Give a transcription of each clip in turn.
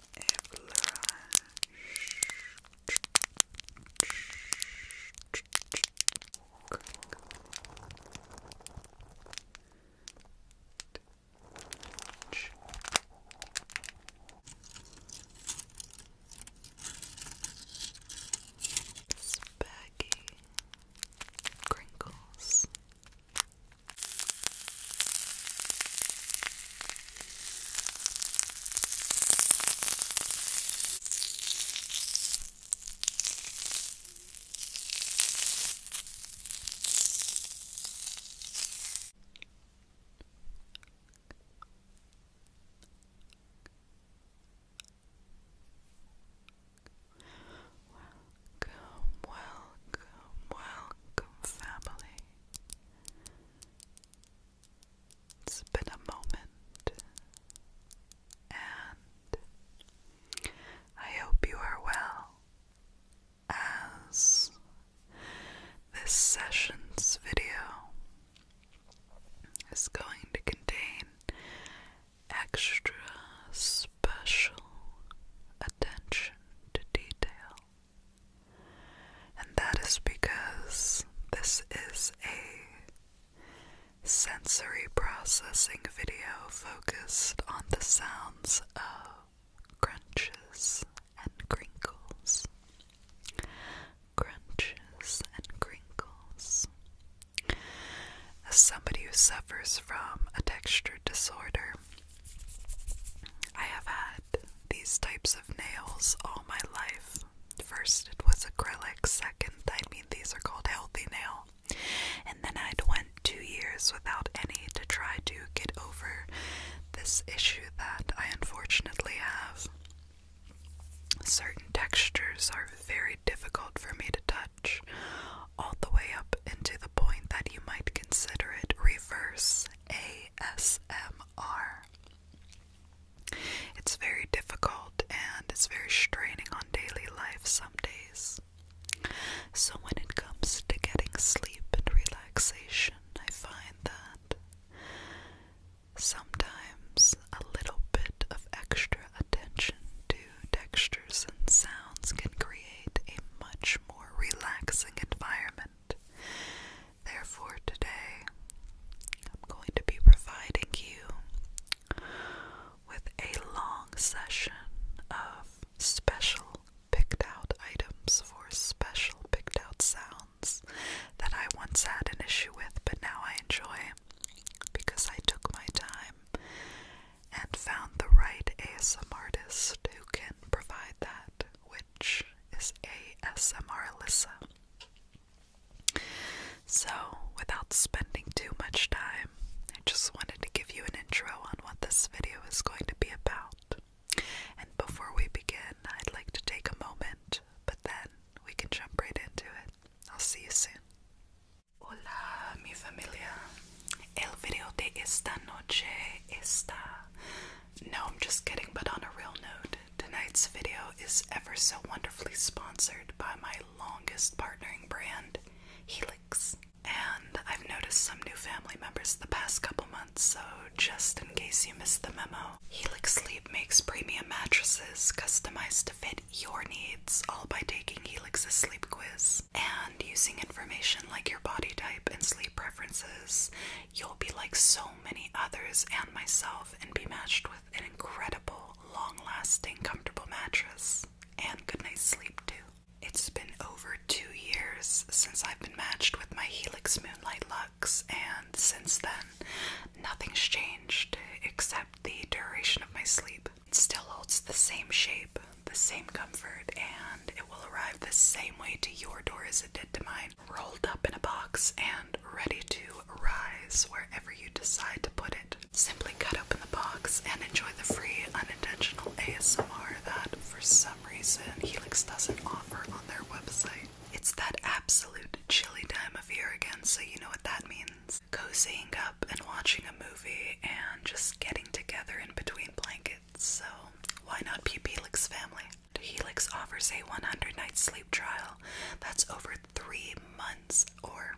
and blush. Spaggy crinkles. Welcome, welcome, welcome, family. It's been a moment, and I hope you are well as this session's video is going to contain extra special attention to detail. And that is because this is a sensory processing video focused on the sounds of crunches and crinkles. Crunches and crinkles. As somebody who suffers from a texture disorder, I have had these types nails all my life. First it was acrylic, second, I mean, these are called healthy nail. And then I'd went two years without any to try to get over this issue that I unfortunately have. Certain textures are very difficult for me to touch, all the way up into the point that you might consider it reverse ASMR. It's very difficult and it's very straining on daily life some days. So, when it comes to getting sleep and relaxation, I find that sometimes a little bit of extra attention to textures and sounds can create a much more relaxing environment. Therefore, today I'm going to be providing you with a long session of special picked out items for special picked out sounds that I once had an issue with, but now I enjoy because I took my time and found the right ASMR artist who can provide that which is ASMR Alyssa. So, without spending too much time, I just wanted to give you an intro on what this video is going to be about. And before we begin, I'd like to take a moment, but then we can jump right into it. I'll see you soon. Hola, mi familia. El video de esta noche está no, I'm just kidding, but on a real note, tonight's video is ever so wonderfully sponsored by my longest partnering brand, Helix. And I've noticed some new family members the past couple months, so just in case you missed the memo, Helix Sleep makes premium mattresses customized to fit your needs, all by taking Helix's sleep quiz. And using information like your body type and sleep preferences, you'll be like so many others and myself and be matched with an incredible, long lasting, comfortable mattress and good night's sleep, too. It's been over two years since I've been matched with my Helix Moonlight Lux, and since then, nothing's changed except the duration of my sleep. It still holds the same shape, the same comfort, and it will arrive the same way to your door as it did to mine rolled up in a box and ready to rise wherever you decide to put it. Simply cut open the box and enjoy the free, unintentional ASMR that, for some reason, Helix doesn't offer on their website. It's that absolute chilly time of year again, so you know what that means. Cozying up and watching a movie and just getting together in between blankets, so why not peep Helix family? Helix offers a 100 night sleep trial that's over three months or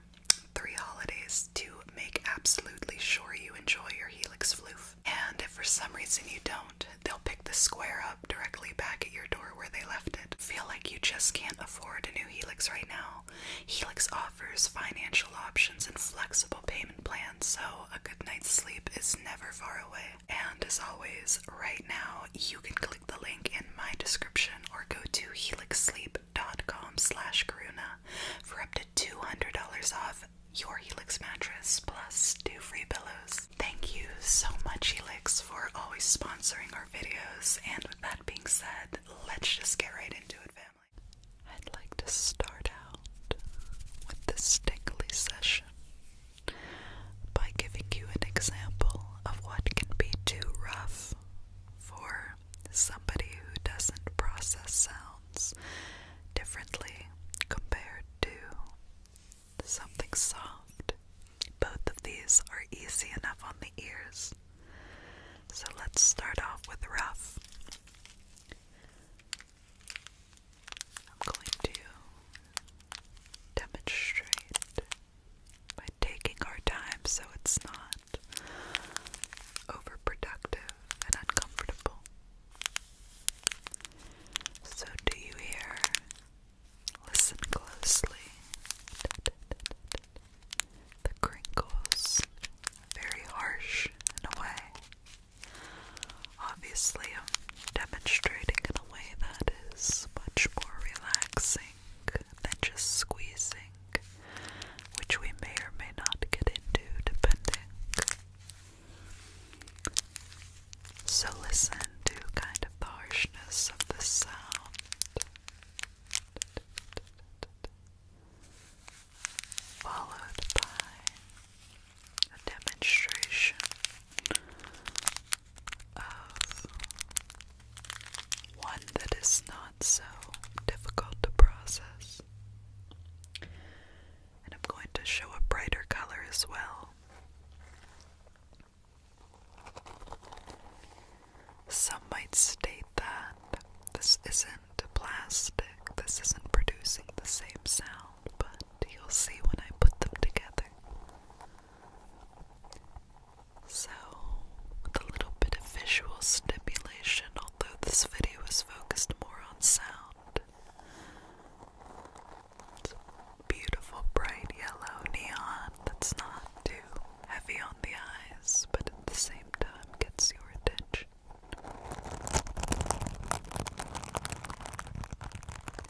three holidays to make absolutely sure you enjoy your Helix floof. And if for some reason you don't, they'll pick the square up directly back at your door where they left it. Feel like you just can't afford a new Helix right now? Helix offers financial options and flexible payment plans, so a good night's sleep is never far away. And as always, right now you can click the link in my description or go to helixsleep.com slash karuna for up to $200 off your Helix mattress plus two free pillows. Thank you so much Helix for always sponsoring our videos and with that being said, let's just get right into it family. I'd like to start out with this tingly session by giving you an example of what can be too rough for somebody who doesn't process sounds differently compared to something soft. Both of these are easy enough on the ears. So let's start off with rough. I'm going to demonstrate by taking our time so it's not overproductive and uncomfortable. So, do you hear? Listen closely. The crinkles, very harsh and away. Obviously, I'm demonstrating in a way that is much more relaxing than just squeezing, which we may or may not get into depending. So, listen to kind of the harshness of the sound. Followed by a demonstration of one that is not so difficult to process. And I'm going to show a brighter color as well. Some might state that this isn't plastic, this isn't producing the same sound, but you'll see when I put them together so, with a little bit of visual stimulation, although this video is focused more on sound. beautiful, bright yellow neon that's not too heavy on the eyes, but at the same time gets your attention.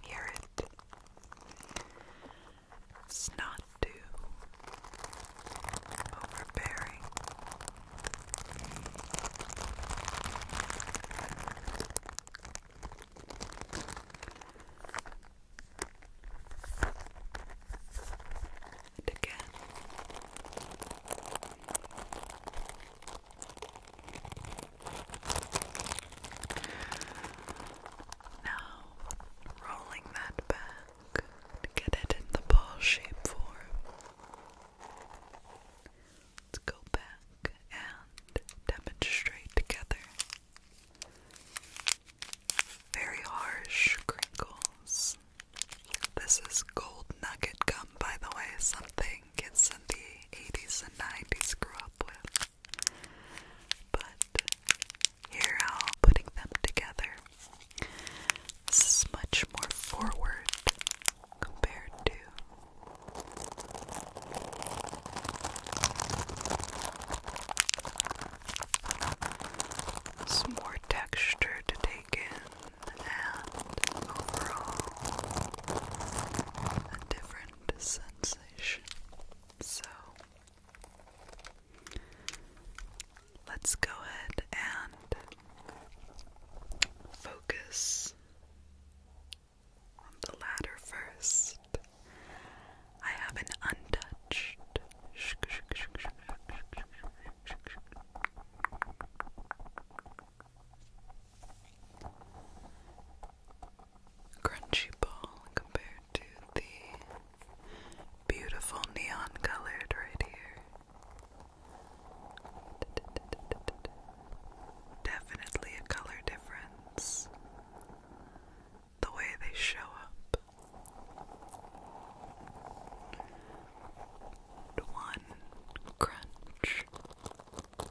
Hear it it's not too overbearing. And again. Now, rolling that back to get it in the ball shape form. Let's go back and demonstrate together. Very harsh crinkles. This is gold nugget gum, by the way, something kids in the 80s and 90s grew up with. But here how putting them together. This is much more forward compared to it's more texture to take in and overall a different sensation. So let's go ahead and focus on the latter first. I have an untouched crunchy ball compared to the beautiful neon colored right here. Definitely a color difference. The way they show up. One crunch the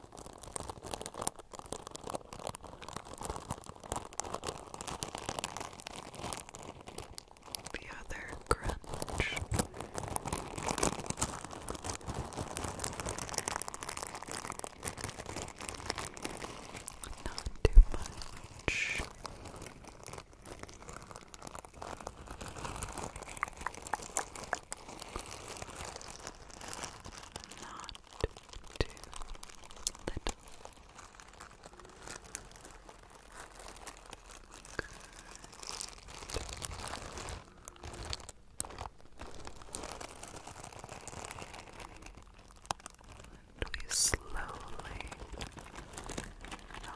other crunch. Not too much. Not too little. we slowly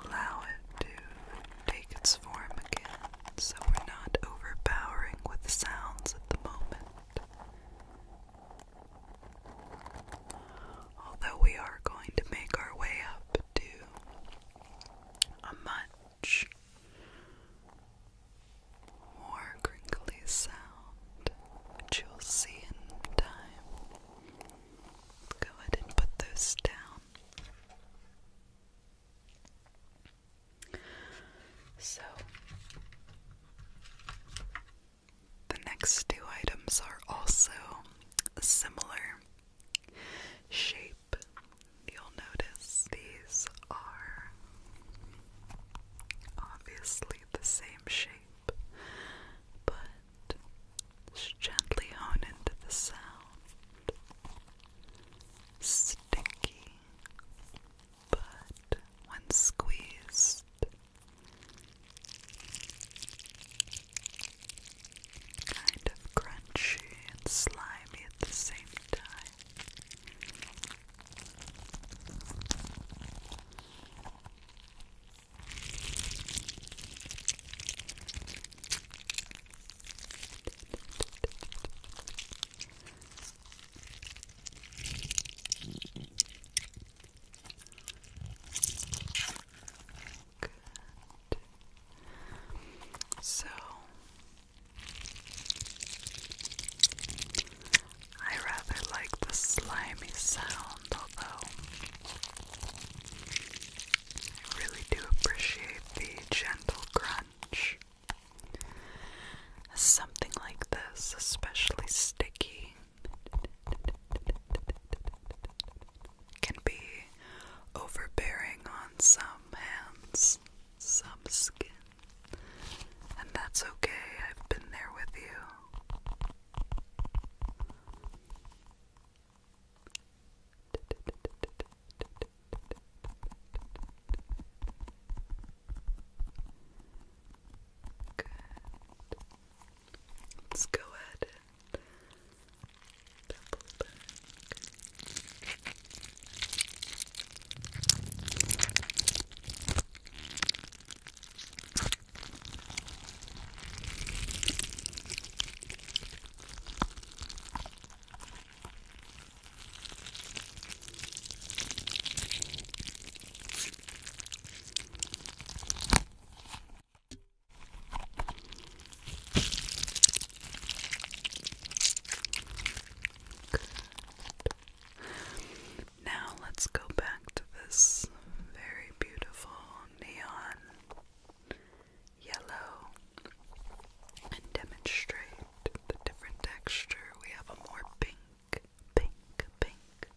allow it to take its form again so we're not overpowering with sounds at the moment. Although we are going to make our way up to a much more crinkly sound, which you'll see in time. Go ahead and put those down. So, the next two items are also similar shape. You'll notice these are obviously the same shape, but gently hone into the sound. Sticky, but when squeezed, kind of crunchy and slimy at the same time. So I rather like the slimy sound, although I really do appreciate the gentle crunch. Something like this, especially sticky, can be overbearing on some hands, some skin. And that's okay, I've been there with you. Good. Let's go ahead and double back. Now let's go back to this very beautiful neon yellow and demonstrate the different texture. We have a more pink pink, pink.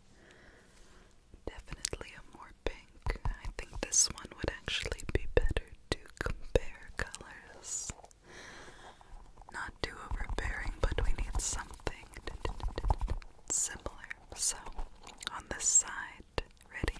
Definitely a more pink. I think this one would actually be better to compare colors. Not too overbearing, but we need something similar. So, on this side, ready?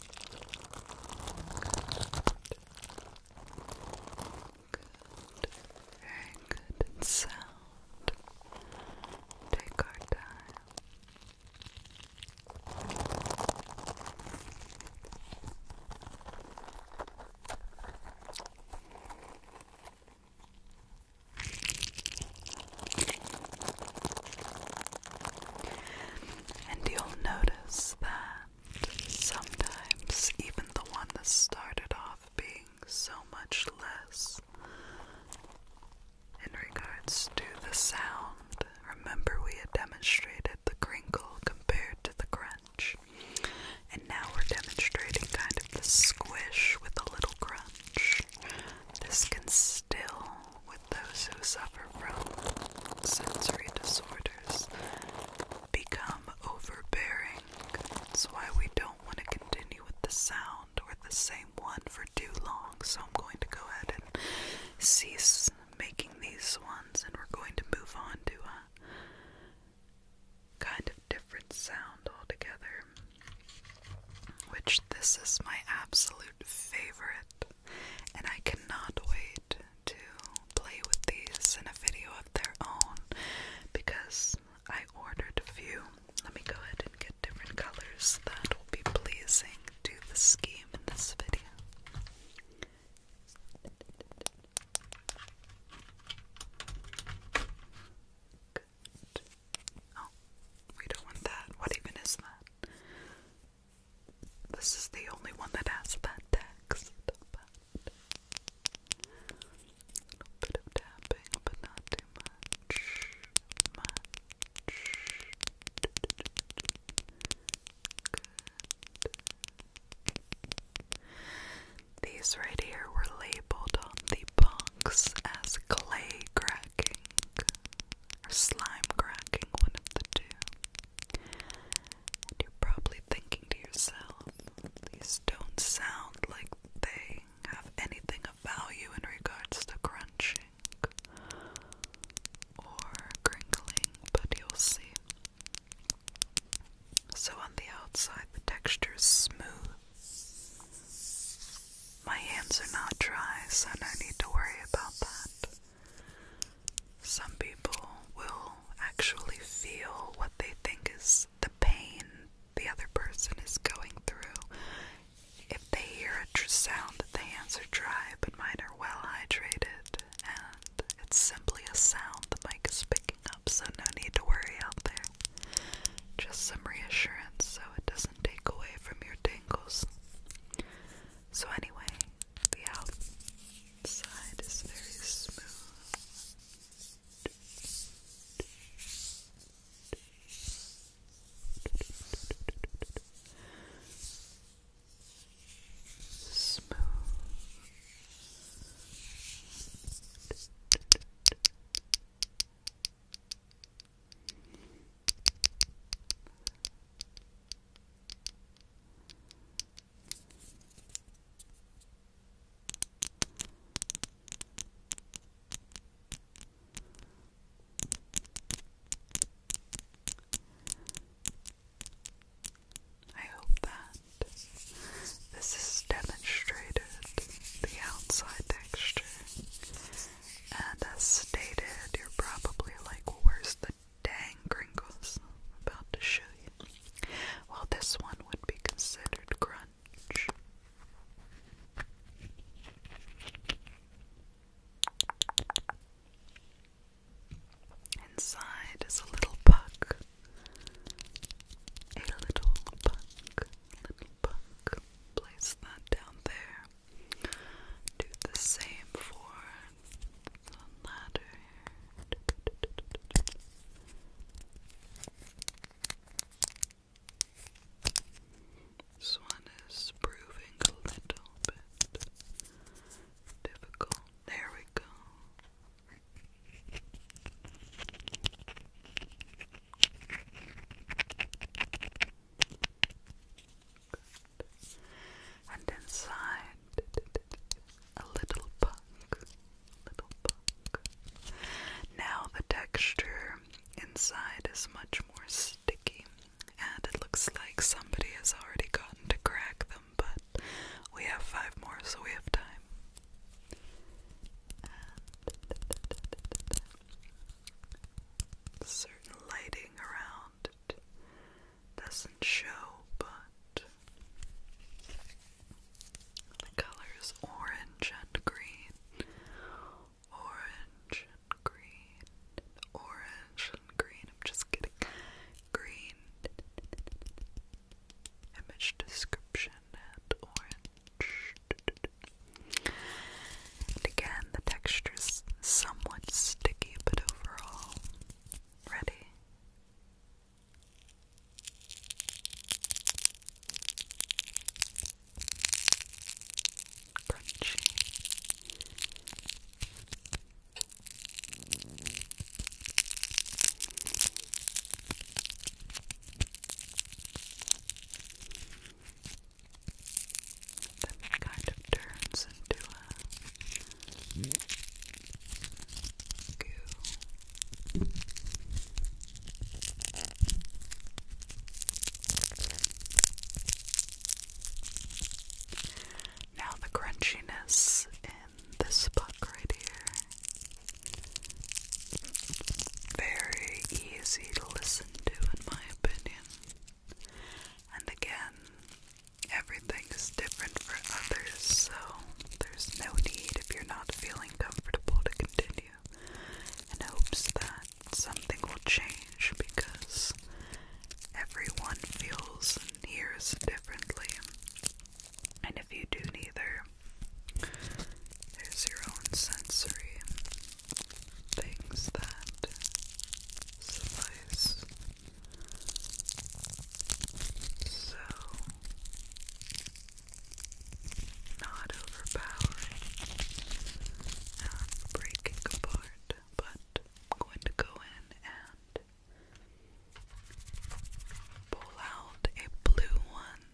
Very good and sound. Take our time. And you'll notice that sometimes even the one that started off being so much less in regards to the sound, remember we had demonstrated the crinkle compared to the crunch. And now we're demonstrating kind of the squish with a little crunch. This can still, with those who suffer from sensory disorders become overbearing. That's why we don't want to continue with the sound or the same one for too long. So I'm going to go ahead and cease making these ones and we're going to move on to a kind of different sound altogether. Which this is my absolute favorite, and I cannot wait to play with these in a video of their own because I ordered a few. Let me go ahead and get different colors that will be pleasing to the scheme in this video. Oh, we don't want that. What even is that? This is the only one that has that text, a little bit of tapping, but not too much. Much. These right here were labeled on the box as clay cracking or slime cracking, one of the two. And you're probably thinking to yourself, these don't sound like they have anything of value in regards to crunching or crinkling, but you'll see. So on the outside, the texture is smooth. My hands are not dry, so no need to worry about that. Some people will actually feel what they think is the pain the other person is going through. If they hear a sound that the hands are dry but mine are well hydrated, and it's simply a sound the mic is picking up, so no need to worry out there. Just some reassurance so it doesn't take away from your tingles. So, anyway, the outside is very smooth. Smooth. Smooth. I hope that this is demonstrated the outside texture. And as stated, you're probably like, well, where's the dang Gringles, I'm about to show you. Well, this one would be considered grunge. Inside is a little puck. A little puck. Little puck. Place that down there. Do the same for the ladder. This one is proving a little bit difficult. There we go. And inside, a little puck. Little puck. Now the texture inside is much more sticky, and it looks like somebody has already gotten to crack them, but we have five more, so we have time. certain lighting around doesn't show, but the colors orange and green, orange and green, orange and green. I'm just kidding. Green image description and orange. And again, the texture's somewhat sticky, but overall all ready. Crunchy. That kind of turns into a goo. Now the crunchiness in this puck right here. Very easy to listen to in my opinion. And again, Everything is different for others, so there's no need if you're not feeling comfortable to continue in hopes that something will change because everyone feels and hears differently. And if you do neither, there's your own sensory things that suffice. So not overpowering, not breaking apart, but I'm going to go in and pull out a blue one.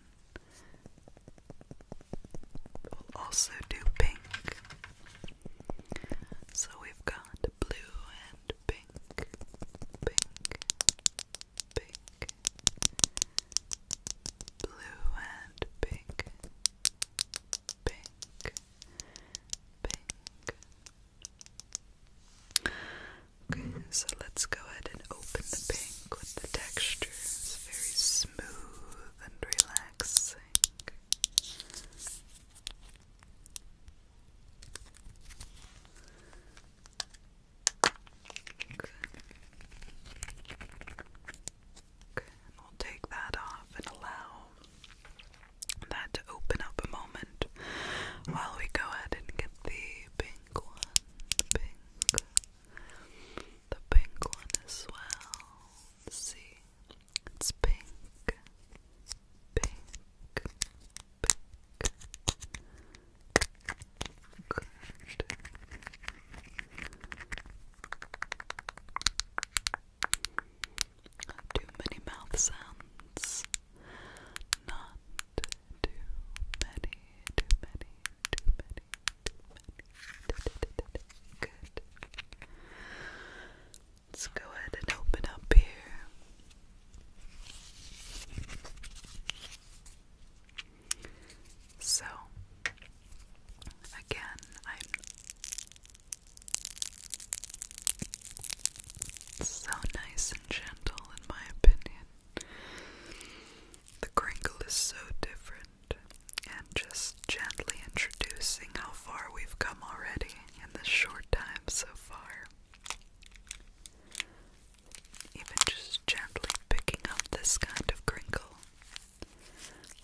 We'll also do pink. So we've got blue and pink, pink, pink, blue and pink, pink, pink. Okay, so let's go ahead and open the pink with the texture. very smooth and relaxing. Good. Good. we'll take that off and allow that to open up a moment while we go ahead and get the pink one. The pink. one as well. see. It's pink, pink, pink. Too many mouth sounds. Not too many, too many, too many, too many. Good. Let's go ahead and open up here. So, again, I'm so nice and gentle, in my opinion. The crinkle is so different, and just gently introducing how far we've come already in the short time so far. Even just gently picking up this kind of crinkle.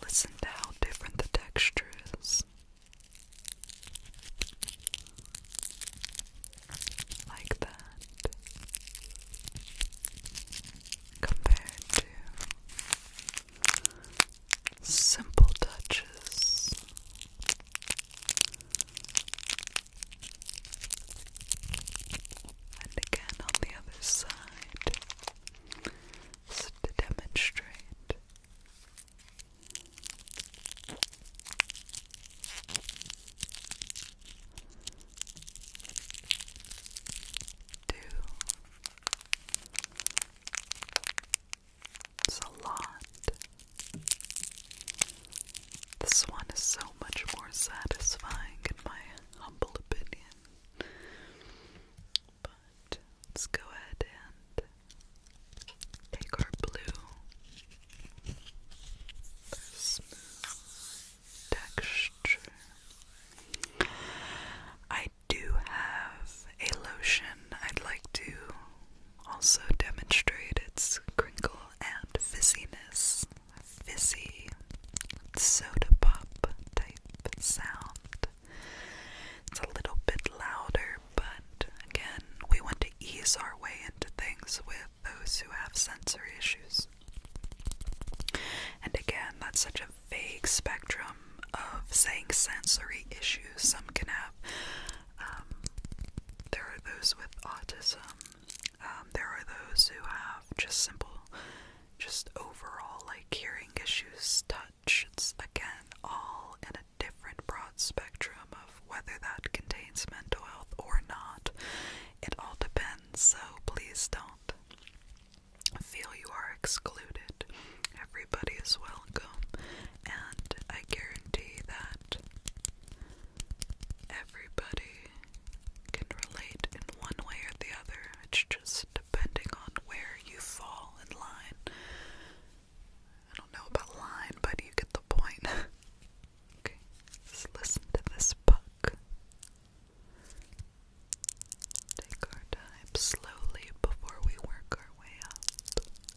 Listen to how different the texture is. Like that. Compared to Simple touches. And again on the other side so to demonstrate. Two it's a lot. This one is so much more satisfying, in my humble opinion. But let's go ahead and take our blue, smooth texture. I do have a lotion I'd like to also demonstrate its crinkle and fizziness. Fizzy soda pop type sound. It's a little bit louder, but again, we want to ease our way into things with those who have sensory issues. And again, that's such a vague spectrum of saying sensory issues. Some can have, um, there are those with autism, um, there are those who have just simple, just overall like hearing issues, touch. It's again all in a different broad spectrum of whether that contains mental health or not. It all depends, so please don't feel you are excluded. Every everybody is welcome, and I guarantee that everybody can relate in one way or the other. It's just depending on where you fall in line. I don't know about line, but you get the point. okay, let listen to this puck. Take our time slowly before we work our way up.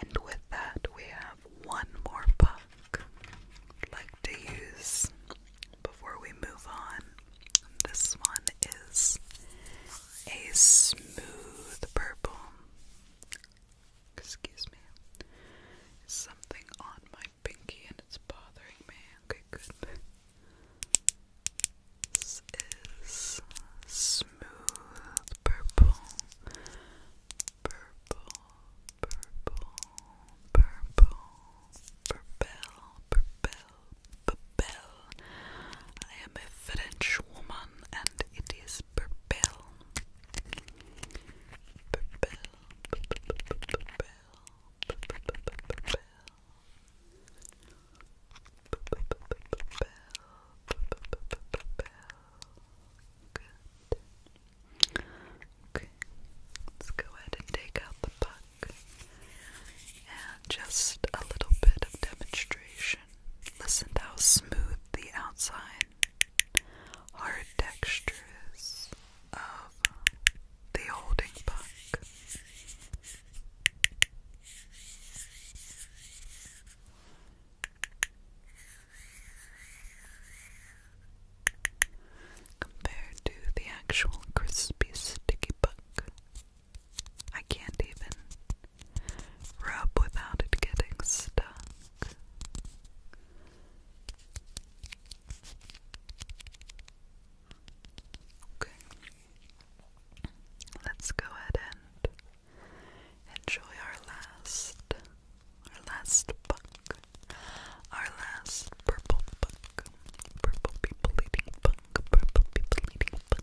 And with that, we have one more puck would like to use before we move on. This one is a smooth purple. Excuse me. something on my pinky and it's bothering me. Okay, good. This is smooth smooth purple, purple, purple, purple, purple, purple, purple. I am a French woman and it is purple. Purple, purple, purple. Bell, bell, bell, bell, bell, bell, let's go ahead and take out the puck. And just a little bit of demonstration. Listen to how smooth the outside hard texture is of the holding puck compared to the actual crispy sticky book. I can't even rub without it getting stuck. Okay. Let's go ahead and Enjoy our last, our last book, our last purple book, purple people eating book, purple people eating book.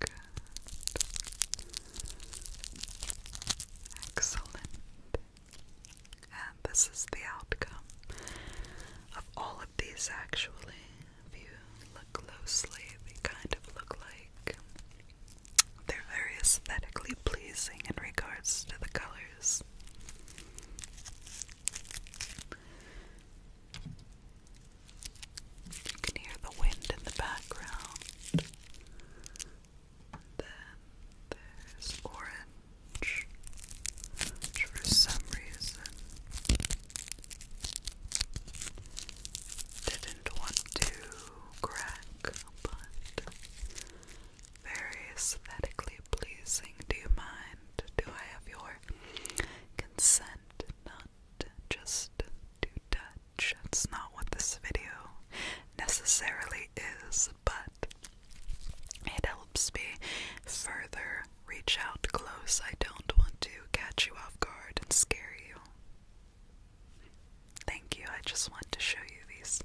Good. Excellent. And this is the outcome of all of these, actually. If you look closely, they kind of look like they're very aesthetically pleasing in regards to the colors those. You can hear the wind in the background. then there's orange, for some reason didn't want to crack, but very aesthetically pleasing. Do you mind? Do I have your consent not just to touch? That's not what this video necessarily is, but it helps me further reach out close. I don't want to catch you off guard and scare you. Thank you. I just want to show you these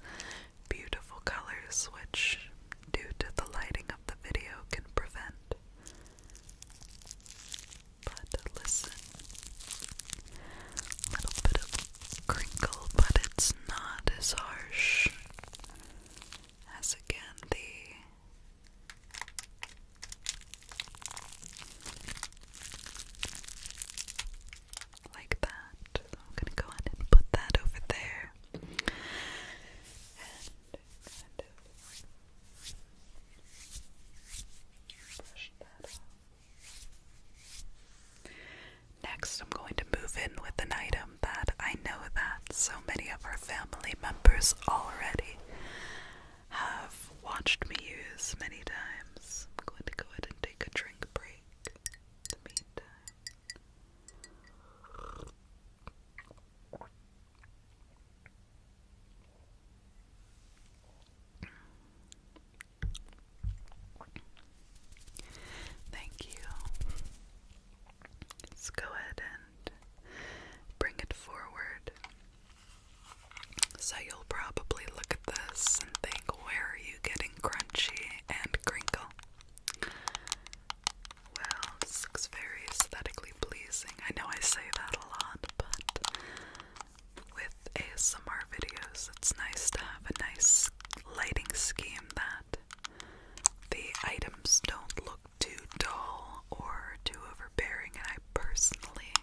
beautiful colors, which, due to the lighting of the video, can prevent. But listen, little bit of crinkle, but it's not as harsh as again the like that. I'm gonna go ahead and put that over there. Next, I'm going to move in with an item that I know that so many of our family members already have watched me use many times. I'm going to go ahead and take a drink break Thank you. Let's go ahead and bring it forward. So you'll probably look at this and think, where are you getting crunchy and crinkle? Well, this looks very aesthetically pleasing. I know I say that a lot, but with ASMR videos, it's nice to have a nice lighting scheme that the items don't look too dull or too overbearing. And I personally,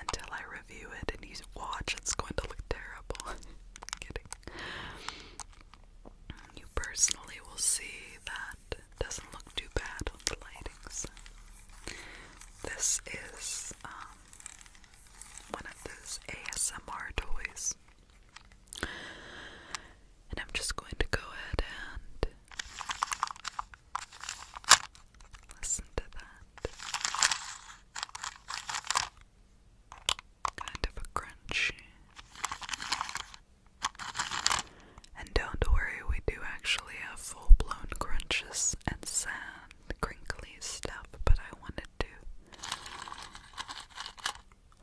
until I review it and you watch, it's going to look terrible. kidding. You personally will see that doesn't look too bad on the lighting. this is um, one of those ASMR toys. And I'm just going to go ahead and listen to that kind of a crunchy. And don't worry, we do actually have full blown crunches and sand, crinkly stuff, but I wanted to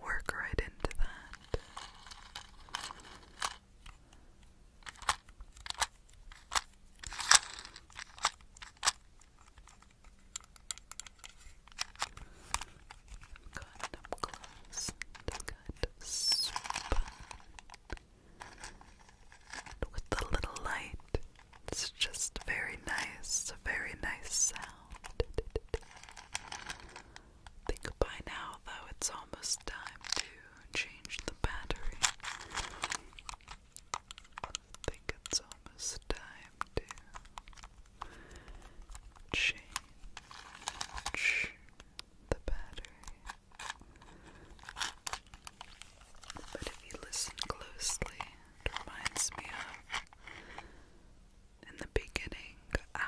work right into that. Kind of close. This kind of super. And with the little light, it's just very nice, a very nice sound. think by now, though, it's almost time to change the battery. I think it's almost time to change the battery. But if you listen closely, it reminds me of in the beginning hour.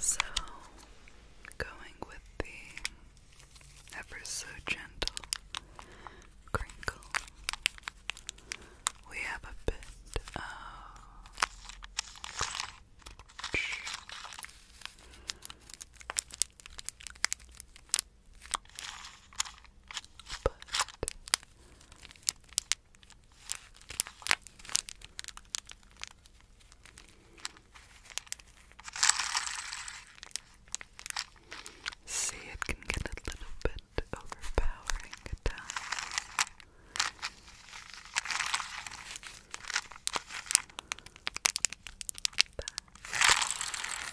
So, going with the ever so gentle crinkle, we have a bit of but See, it can get a little bit overpowering at times. But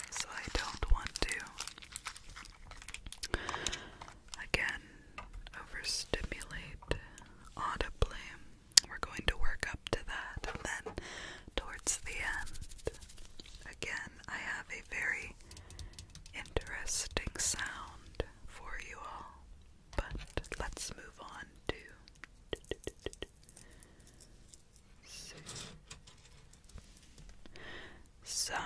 so I don't want to again overstimulate audibly. We're going to work up to that and then towards the end. Again, I have a very interesting sound for you all, but let's move on to some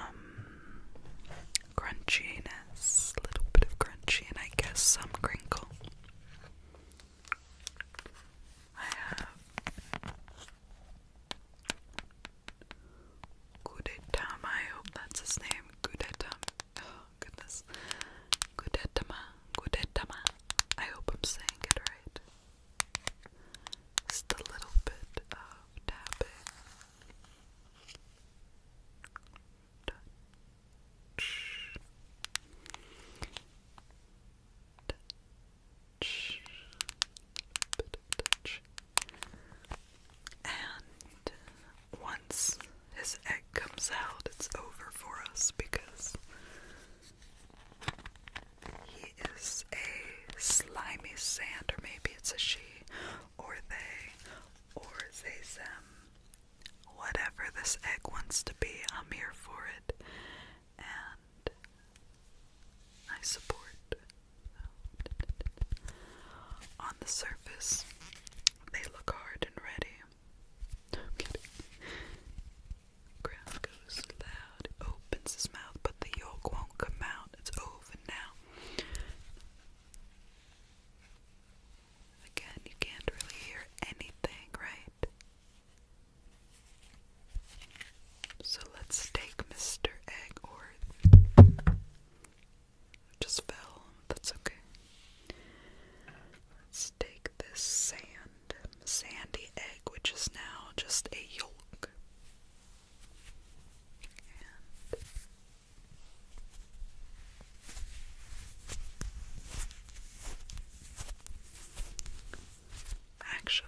crunchiness, a little bit of crunchy, and I guess some crinkle. I have Kudetam, I hope that's his name. Kudetam. Oh goodness. Kudetama. Kudetama. I hope I'm saying it right. Just a little bit of tapping. Touch. Touch. Bit touch. And once his egg comes out, it's over for us because he is a slimy sand, or maybe it's a she, or they, or they, them. Whatever this egg wants to be, I'm here for it. And I support. On the surface, they look hard and ready. I'm kidding. Gruff goes loud, opens his mouth, but the yolk won't come out. It's over now. Again, you can't really hear anything, right? So let's take Mr. Egg or just fell. That's okay. Let's take this sand, sandy egg, which is now just a yolk actually,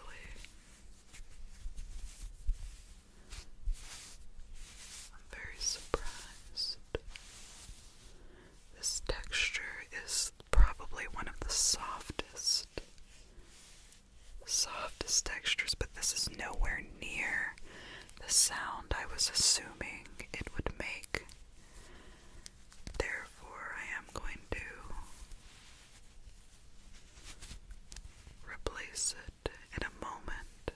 I'm very surprised. This texture is probably one of the softest softest, textures, but this is nowhere near the sound I was assuming it would make. Therefore, I am going to replace it in a moment.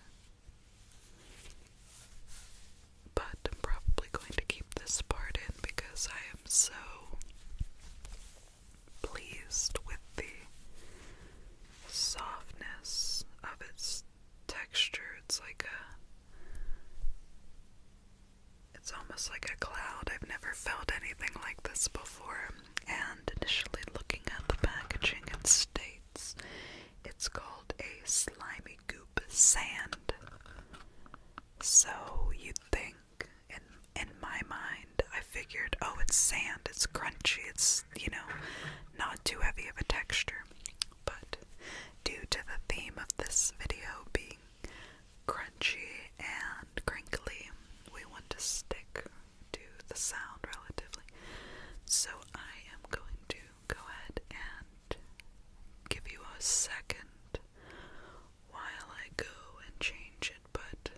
But I'm probably going to keep this part in because I am so pleased with the softness of its texture. It's like a it's almost like a cloud. I've never felt anything like this before. And initially looking at the packaging it states it's called a slimy goop sand. So you'd think in in my mind I figured, oh it's sand, it's crunchy, it's you know, not too heavy of a texture. But due to the theme of this video being crunchy and crinkly, we want to stick to the sound relatively. So I am going to go ahead and give you a second while I go and change it, but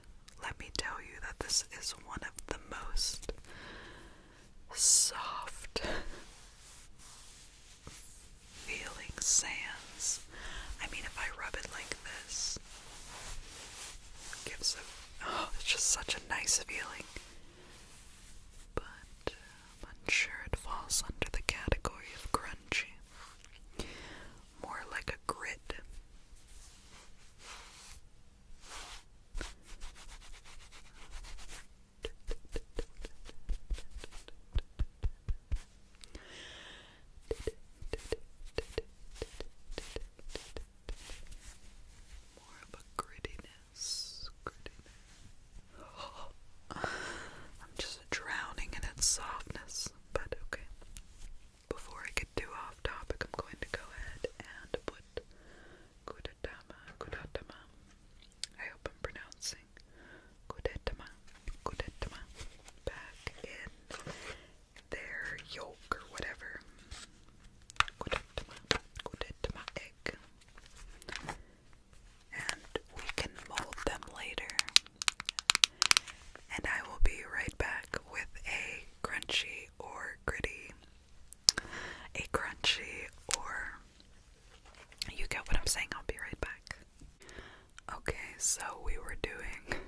let me tell you that this is one of the most soft feeling sands. I mean, if I rub it like this, gives a oh, it's just such a nice feeling. But uh, I'm unsure it falls under the category of grungy more like a grid. More of a grittiness, I'm just drowning in its softness, but okay before I get too off topic, I'm going to go ahead and put Kudetama, Kudetama. I hope I'm pronouncing Kudetama, Kudetama back in their yolk or whatever. Kudetama, Kudetama egg. And we can mold them later. And I will be right back with a crunchy or gritty. A crunchy or. You get what I'm saying, I'll be right back. Okay, so we were doing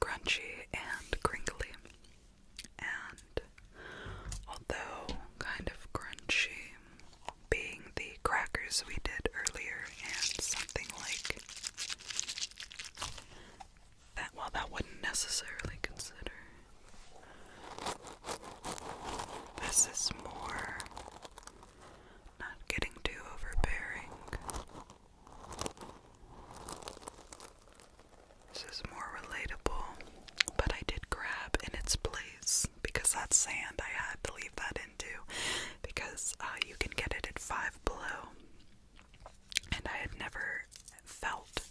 crunchy and crinkly. And although kind of crunchy, being the crackers we did earlier, and something like that well that wouldn't necessarily consider. This is more not getting too overbearing. This is more relatable, but I did grab in its place because that sand I had to leave that into because uh, you can get it at five below and I had never felt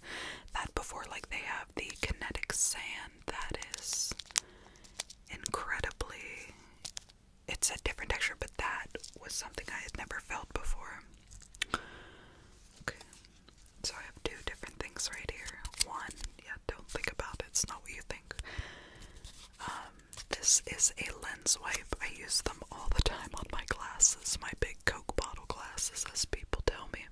that before. Like they have the kinetic sand that is incredibly it's a different texture, but that was something I had never felt before. So I have two different things right here. One, yeah, don't think about it, it's not what you think. Um this is a lens wipe. I use them all the time on my glasses, my big Coke bottle glasses, as people tell me.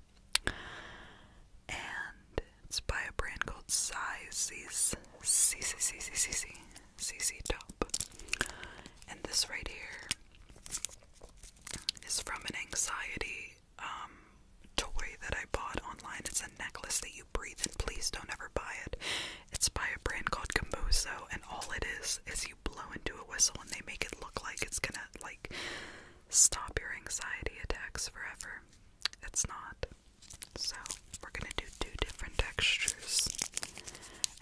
And it's by a brand called Sizes CCCCCC CC Top. And this right here is from an anxiety um toy that I bought online. It's a necklace that you breathe in. Please don't ever buy it. It's by a brand called Gambozo, and all it is is you blow into a whistle and they make it look like it's gonna like stop your anxiety attacks forever. It's not. So we're gonna do two different textures.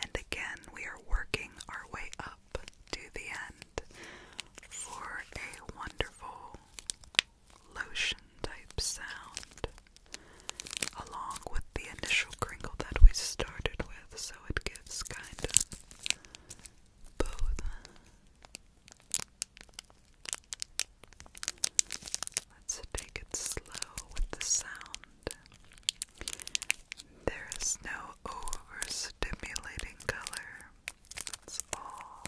And again, we are working our way up to the end for a wonderful lotion type sound along with the initial crinkle that we started with, so it gives kind of both. Let's take it slow with the sound. There is no overstimulating color. It's all.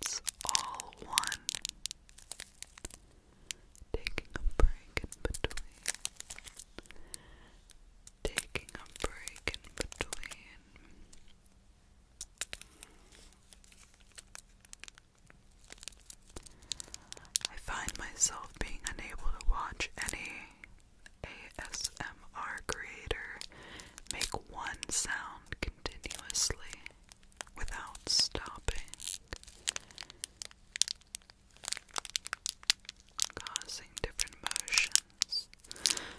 It's all one. Taking a break in between. Taking a break in between. I find myself being unable to watch any ASMR creator make one sound continuously without stopping, causing different motions.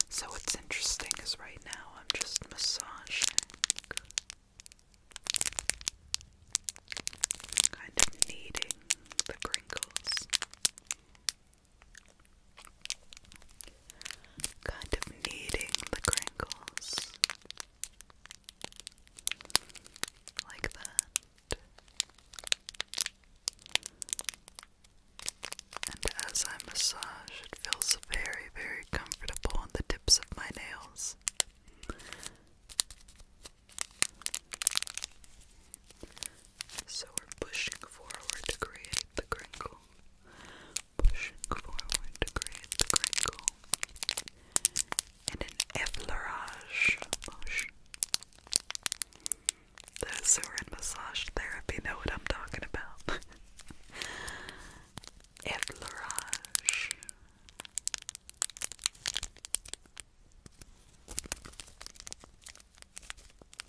So, what's interesting is right now I'm just massaging kind of kneading the crinkles Kind of kneading the crinkles like that. And as I massage, it feels very, very comfortable on the tips of my nails. So we're pushing forward to create the crinkle pushing forward to create the crinkle in an effleurage motion. Those who are in massage therapy know what I'm talking about. effleurage.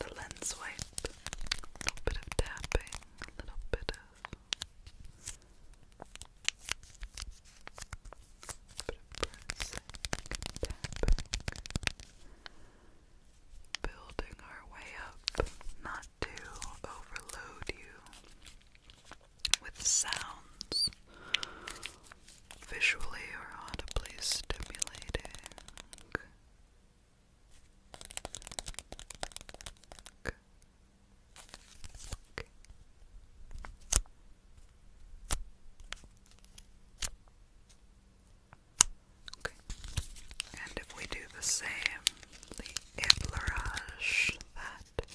the lens wipe, a little bit of tapping, a little bit of, a bit of pressing, building our way up, not to overload you with sounds. Visually or audibly stimulating, Okay. And if we do the same, the effleurage that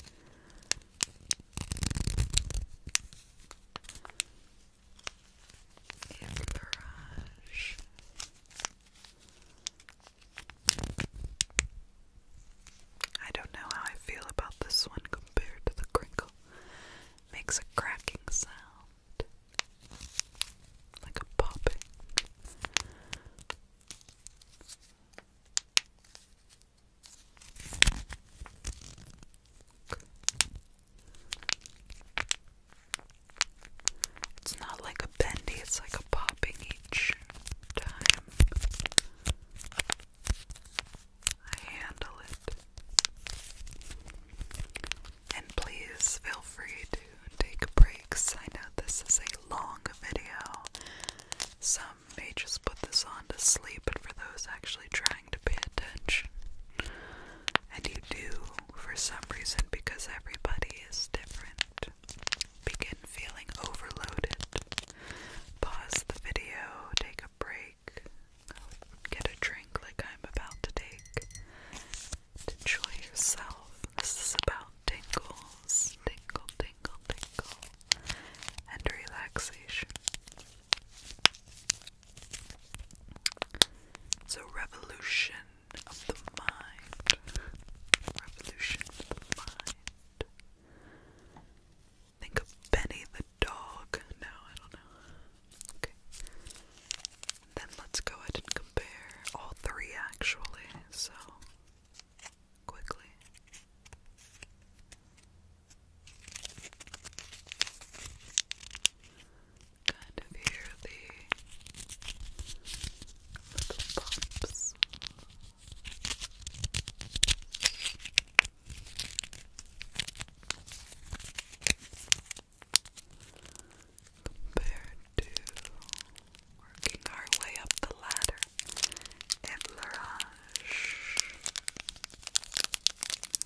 I don't know how I feel about this one compared to the crinkle. Makes a cracking sound. Like a popping. It's not like a bendy, it's like a popping each time. I handle it. And please feel free to take breaks. I know this is a long video. Some may just put this on to sleep, but for those actually trying to pay attention, and you do for some reason because everybody is different begin feeling overloaded pause the video take a break get a drink like I'm about to take enjoy yourself this is about tingles tingle tingle tingle and relaxation it's a revolution of the mind. Revolution of the mind. Think of Benny the dog. No, I don't know. Okay. Then let's go ahead and compare all three actually, so quickly kind of hear the little bumps. Compared to working our way up the ladder at Mirage.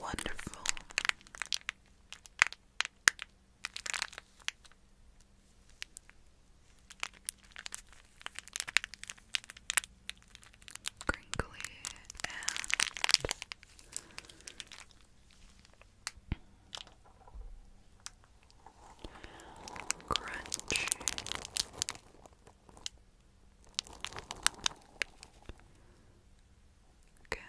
Wonderful. Crinkly and Crunch. Good.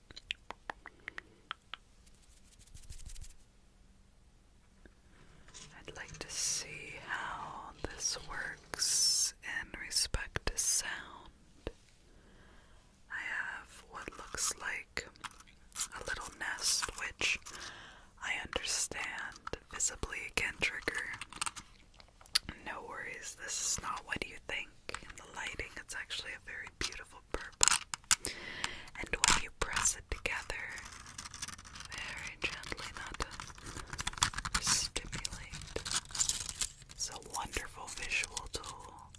I'd like to see how this works in respect to sound. I have what looks like a little nest, which I understand visibly can trigger. No worries, this is not what you think the lighting, it's actually a very beautiful purple. And when you press it together, very gently, not to stimulate, it's a wonderful visual tool.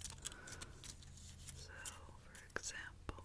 So, for example,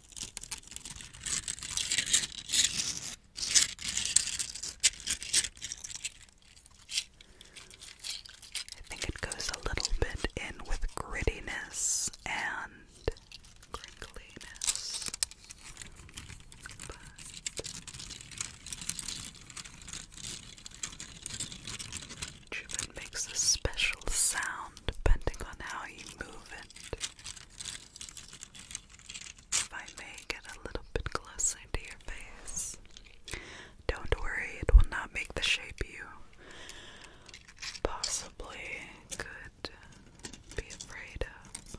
I think it goes a little bit in with grittiness and crinkliness each it makes a special sound depending on how you move it. If I may get a little bit closer to your face, don't worry, it will not make the shape you possibly could be afraid of.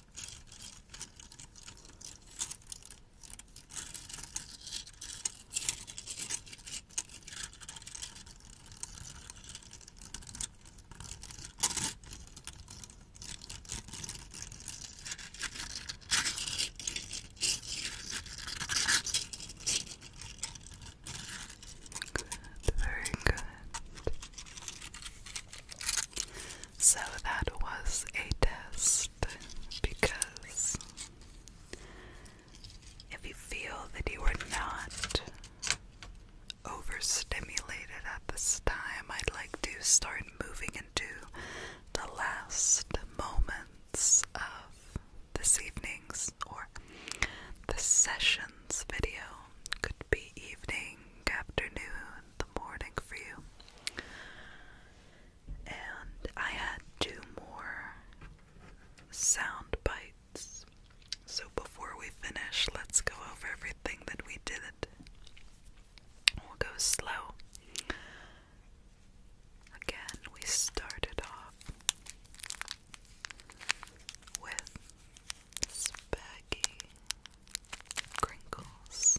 Good, very good. So that was a test because if you feel that you are not overstimulated at this time, I'd like to start moving into the last moments of this evening's or the session's video. Could be evening, afternoon, the morning for you and I had two more sound bites. So before we finish, let's go over everything that we did. We'll go slow. Again, we started off with spaghetti crinkles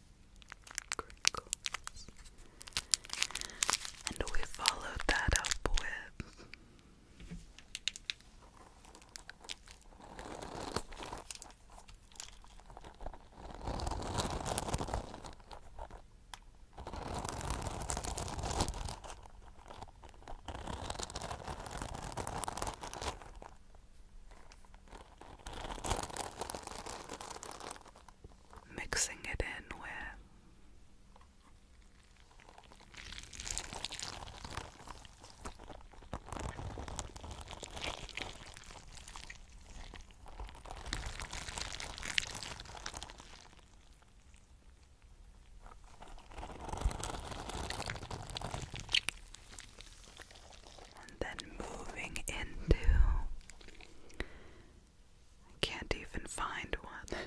crinkles. And we followed that up with mixing it in with and then moving into. I can't even find one.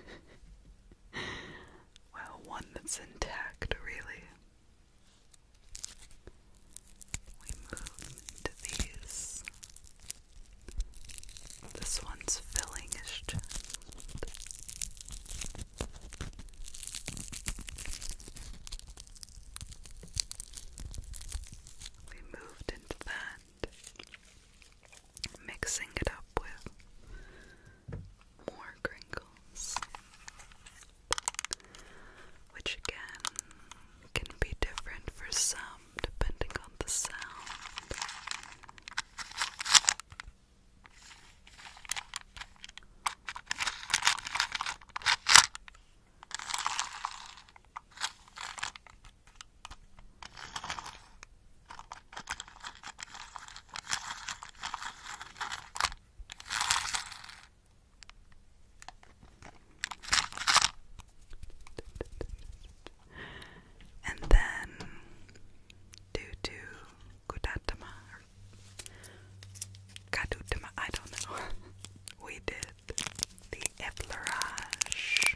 well, one that's intact, really. We move into these. This one's filling is we moved into that, mixing it up with more crinkles, which again can be different for some depending on the sound. And then, due to Kudatama Kadutama, I don't know, we did the effleurage,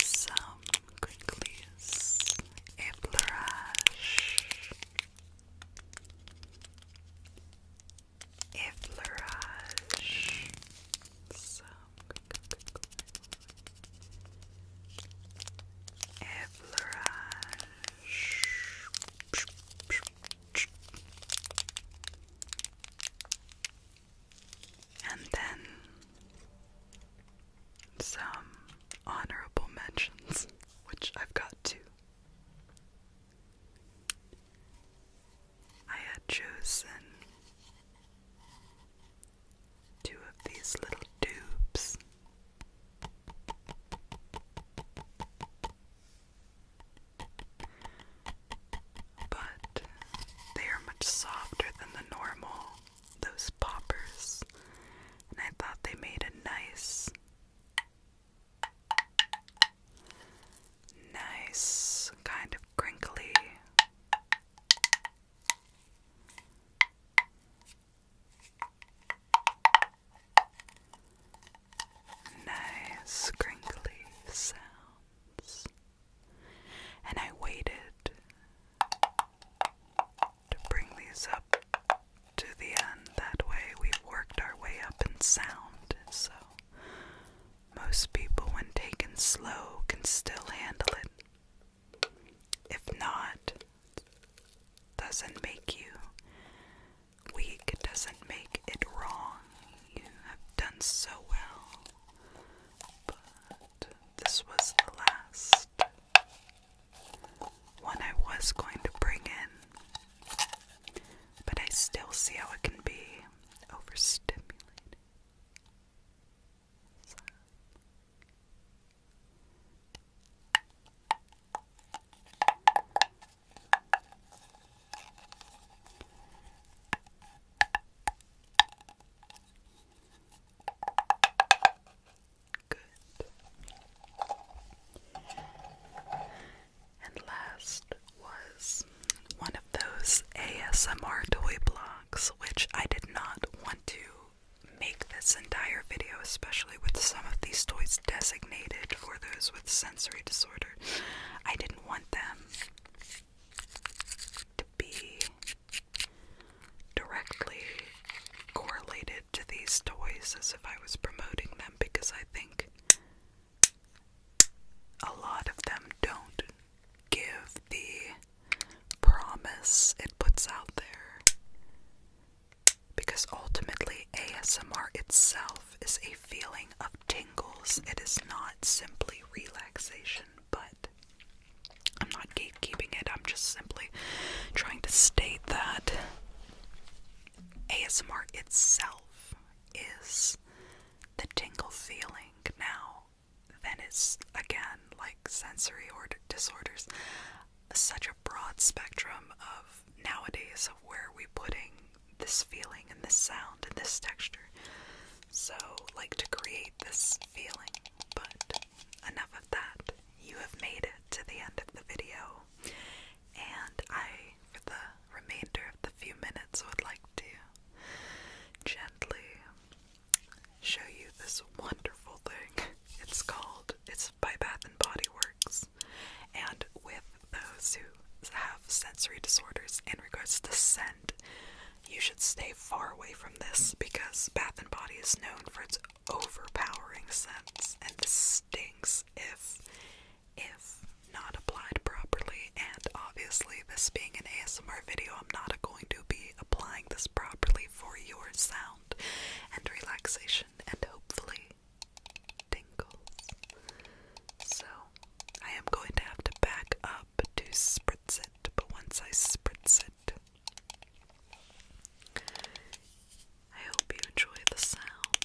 some quickly effleurage, effleurage, some effleurage. And then some honorable mentions, which I've got two. I had chosen two of these little dupes. But they are much softer than the normal, those poppers, and I thought they made a nice, nice kind of crinkly. Nice crinkly sound. And I waited to bring these up to the end. That way, we've worked our way up in sound. So, most people, when taken slow, can still handle it. If not, doesn't make you weak, doesn't make it wrong. You have done so well, but this was the last one I was going to bring in, but I still see how it can be overstimulating. Good. And last was one of those ASMR toy blocks, which I did not want to make this entire video, especially with some of these toys designated for those with sensory disorder. I didn't want them to be directly correlated to these toys as if I was promoting them because I think a lot of them don't give the promise it puts out there. Because ultimately, ASMR itself is a feeling of tingles. It is not simply relaxation, but I'm not gatekeeping it. I'm just simply trying to state that ASMR itself is the tingle feeling. Now, then it's again like sensory or disorders, such a broad spectrum of nowadays of where are we putting this feeling and this sound and this texture. So, like to create this feeling. But enough of that. You have made it to the end of the video. And I, for the remainder of the few minutes, would like to gently show you this wonderful thing. It's called, it's by Bath and Body Works. And with those who have sensory disorders in regards to the scent, you should stay far away from this because Bath and Body is known for its overpowering scents and this stinks if if not applied properly and obviously this being an ASMR video I'm not going to be applying this properly for your sound and relaxation and hopefully tingles. So I am going to have to back up to spritz it, but once I spritz it, I hope you enjoy the sound.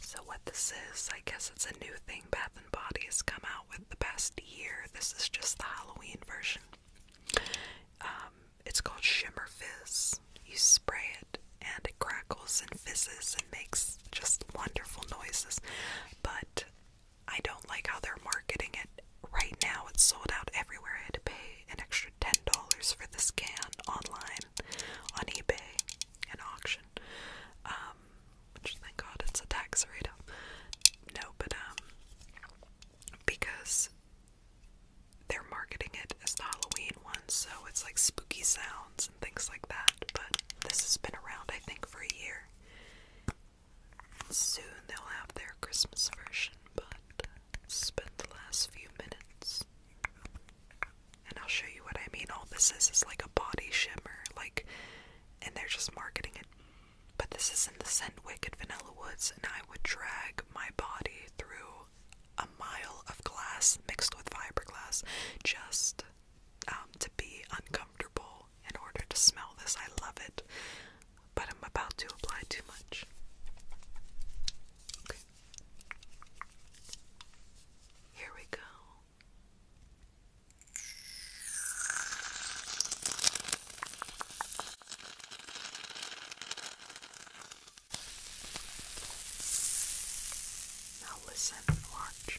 So what this is, I guess it's a new thing Bath and Body has come out with the past year. This is just the Halloween version. Um, it's called Shimmer Fizz. You spray it and it crackles and fizzes and makes just wonderful noises. But I don't like how they're marketing it. Right now it's sold out everywhere. I had to pay an extra $10 for this can online on eBay in auction. Um, which thank God it's a tax No, but um because they're marketing it as the Halloween one, so it's like spooky sounds and things like that. But this has been around, I think, for a year. Soon they'll have their Christmas version, but spent the last few minutes. And I'll show you what I mean. All this is is like a body shimmer, like, and they're just marketing it but this is in the scent wicked vanilla woods, and I would drag my body through a mile of glass mixed with fiberglass just um, to be uncomfortable in order to smell this. I love it, but I'm about to apply too much. Here we go. Now listen and watch.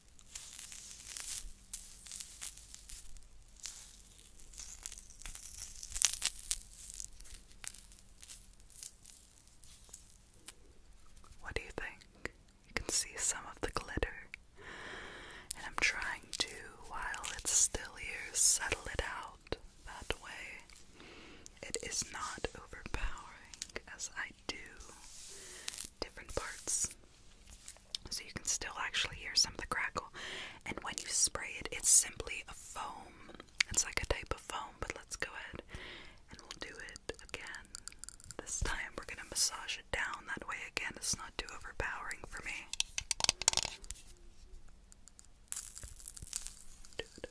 What do you think? You can see some of the glitter, and I'm trying to, while it's still here, settle it out that way. It is not overpowering as I do different parts. So you can still actually hear some of the crackle. And when you spray it, it's simply a foam. It's like a type of foam, but let's go ahead and we'll do it again. This time we're going to massage it down. That way, again, it's not too overpowering for me. Dude.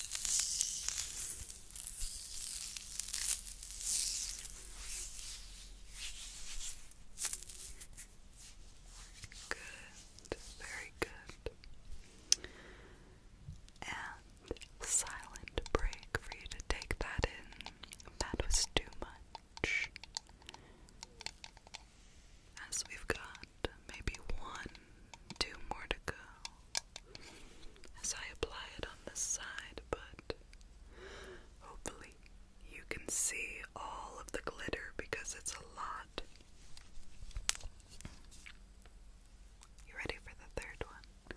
Good, very good. And silent break for you to take that in. That was too much. As we've got maybe one, two more to go as I apply it on this side, but hopefully you can see all of the glitter because it's a lot. You ready for the third one?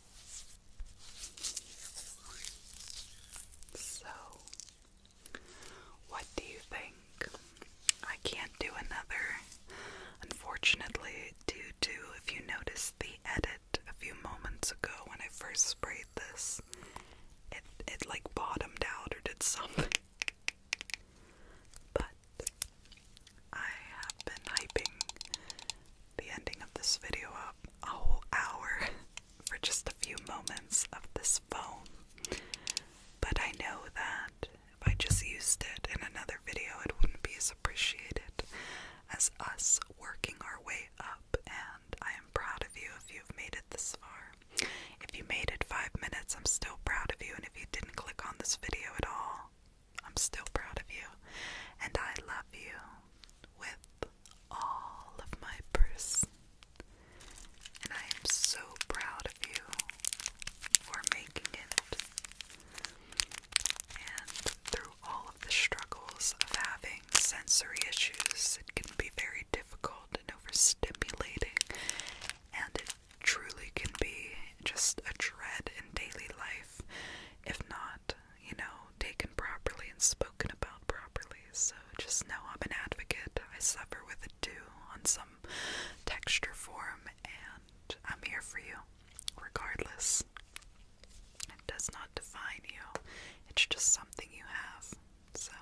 So, what do you think? I can't do another, unfortunately, due to if you noticed the edit a few moments ago when I first sprayed this, it it like bottomed out or did something. But I have been hyping the ending of this video a whole hour for just a few moments of this foam. But I know that if I just used it in another video, it wouldn't be as appreciated as us working our way up. And I am proud of you if you've made it this far. If you made it five minutes, I'm still proud of you. And if you didn't click on this video at all, I'm still proud of you. And I love you with all of my purse. And I am so proud of you for making it. And through all of the struggles of having sensory issues, it can be very difficult and overstimulating, and it truly can be just a dread in daily life, if not you know, taken properly and spoken about properly. So just know I'm an advocate. I suffer with it too on some texture form, and I'm here for you regardless. It does not define you, it's just something you have. So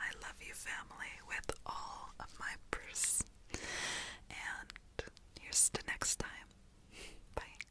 I love you, family, with all of my purse. And here's to next time. Bye.